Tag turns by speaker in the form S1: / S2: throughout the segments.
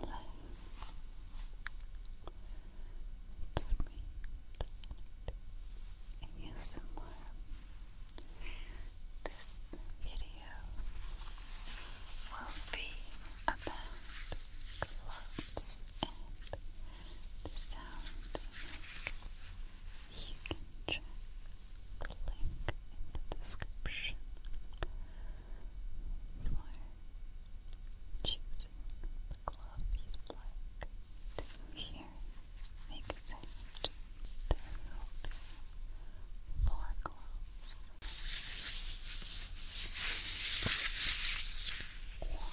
S1: Hello. It's This video will be about gloves and sound You link in the description for the glove you'd like to hear make a sound. There will be four gloves. One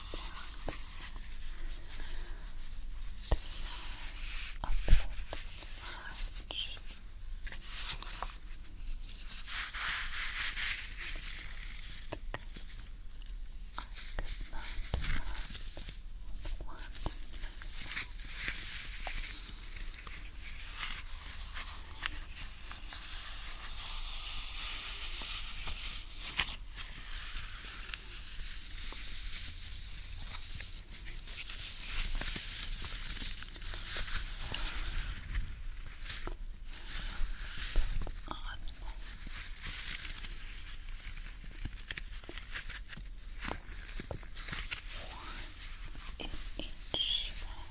S1: thoughts. They a bit Because I could not run once myself. So on one in each hand.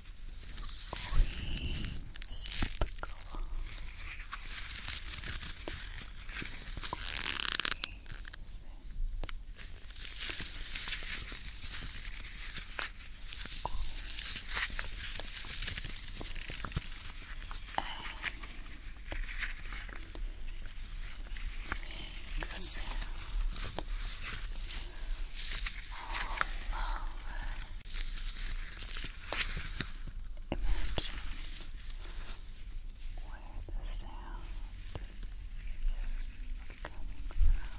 S2: Squeeze the glove. Squeeze it. And make sounds all over Imagine where the sound is coming from.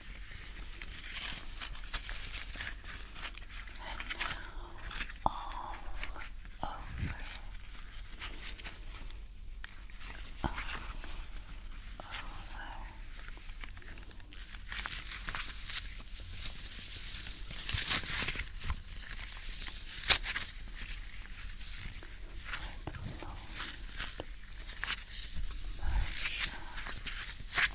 S3: And now all over. All over. With motions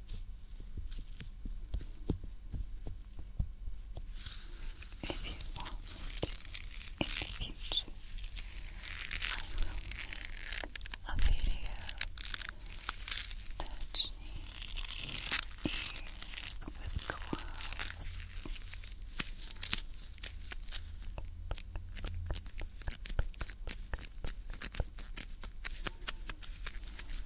S3: If you want in the future, I will make a video touching ears with gloves. Thank you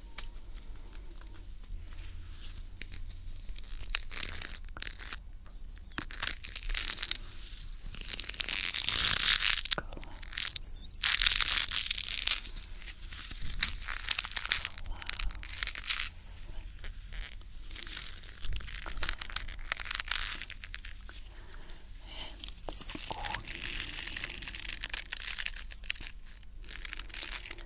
S3: Close. Close. And squeeze. Squeeze rub one against the other.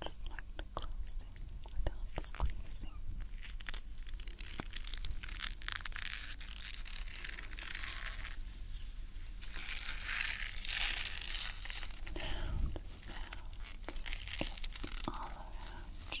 S3: Slightly closing without squeezing. Now the sound is all around you.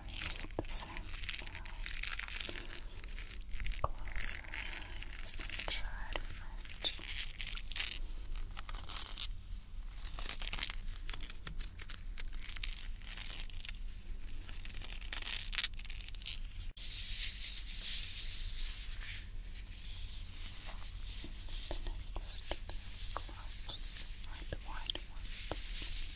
S3: the scent now. Close your eyes and try to find The next cloths are the white ones.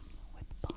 S4: balm with balm.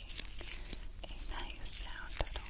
S4: making a nice sound at all.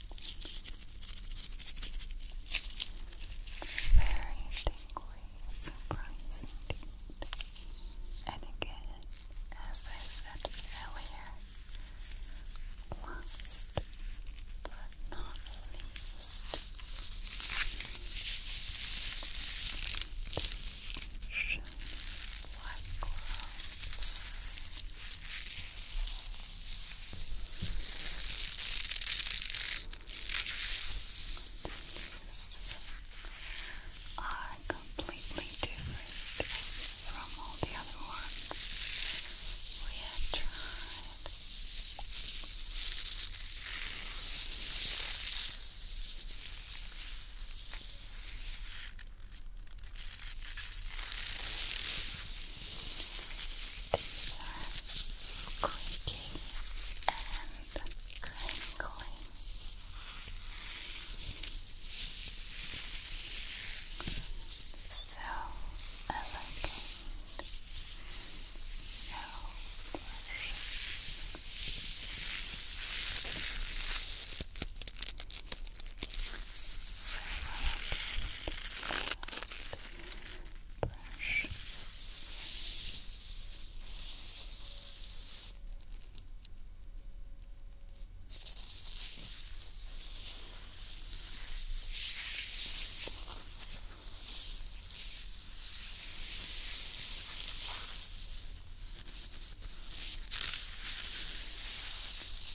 S4: Very tingly, surprising And again, as I said earlier, last but not least, this shiny white gloves. These are completely different from all the other ones we have tried. These are squeaky and crinkly. So elegant, so precious. So elegant and brushes.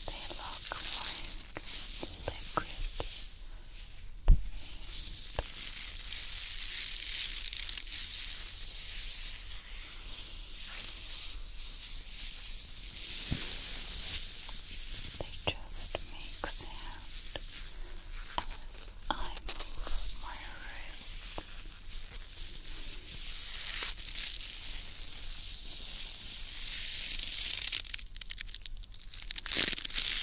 S4: They look like they just make sound as I move my wrists. Trying to make you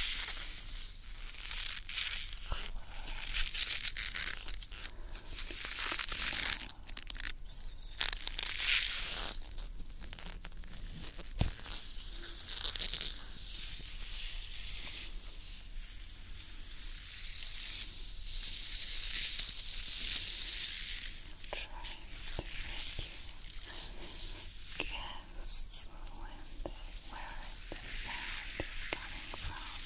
S4: guess where the sound is coming from.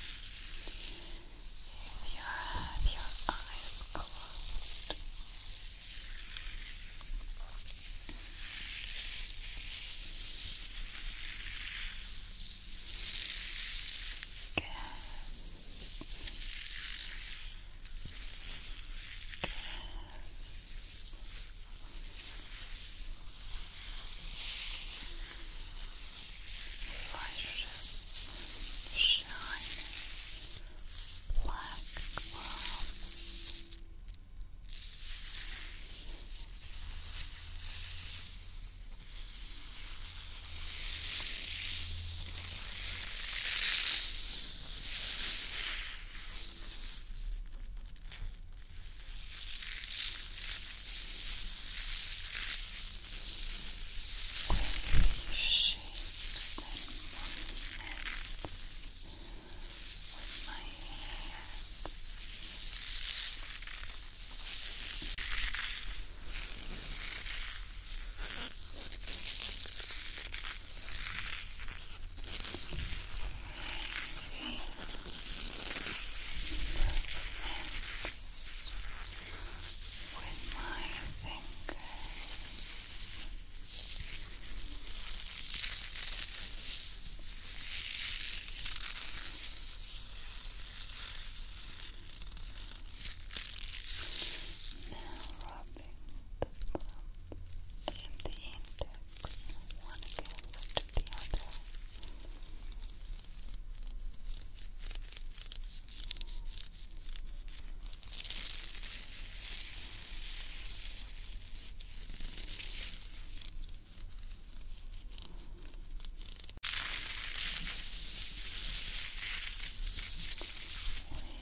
S4: If you have your eyes closed. Guess precious, shiny black gloves. All shapes and movements with my hands with my fingers. Now rub the thumb and the index one against the other.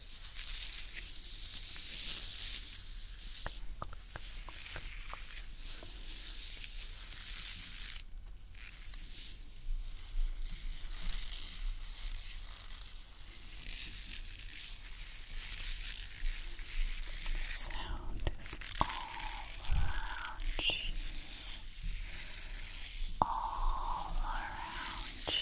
S5: The sound is all around you, all around you.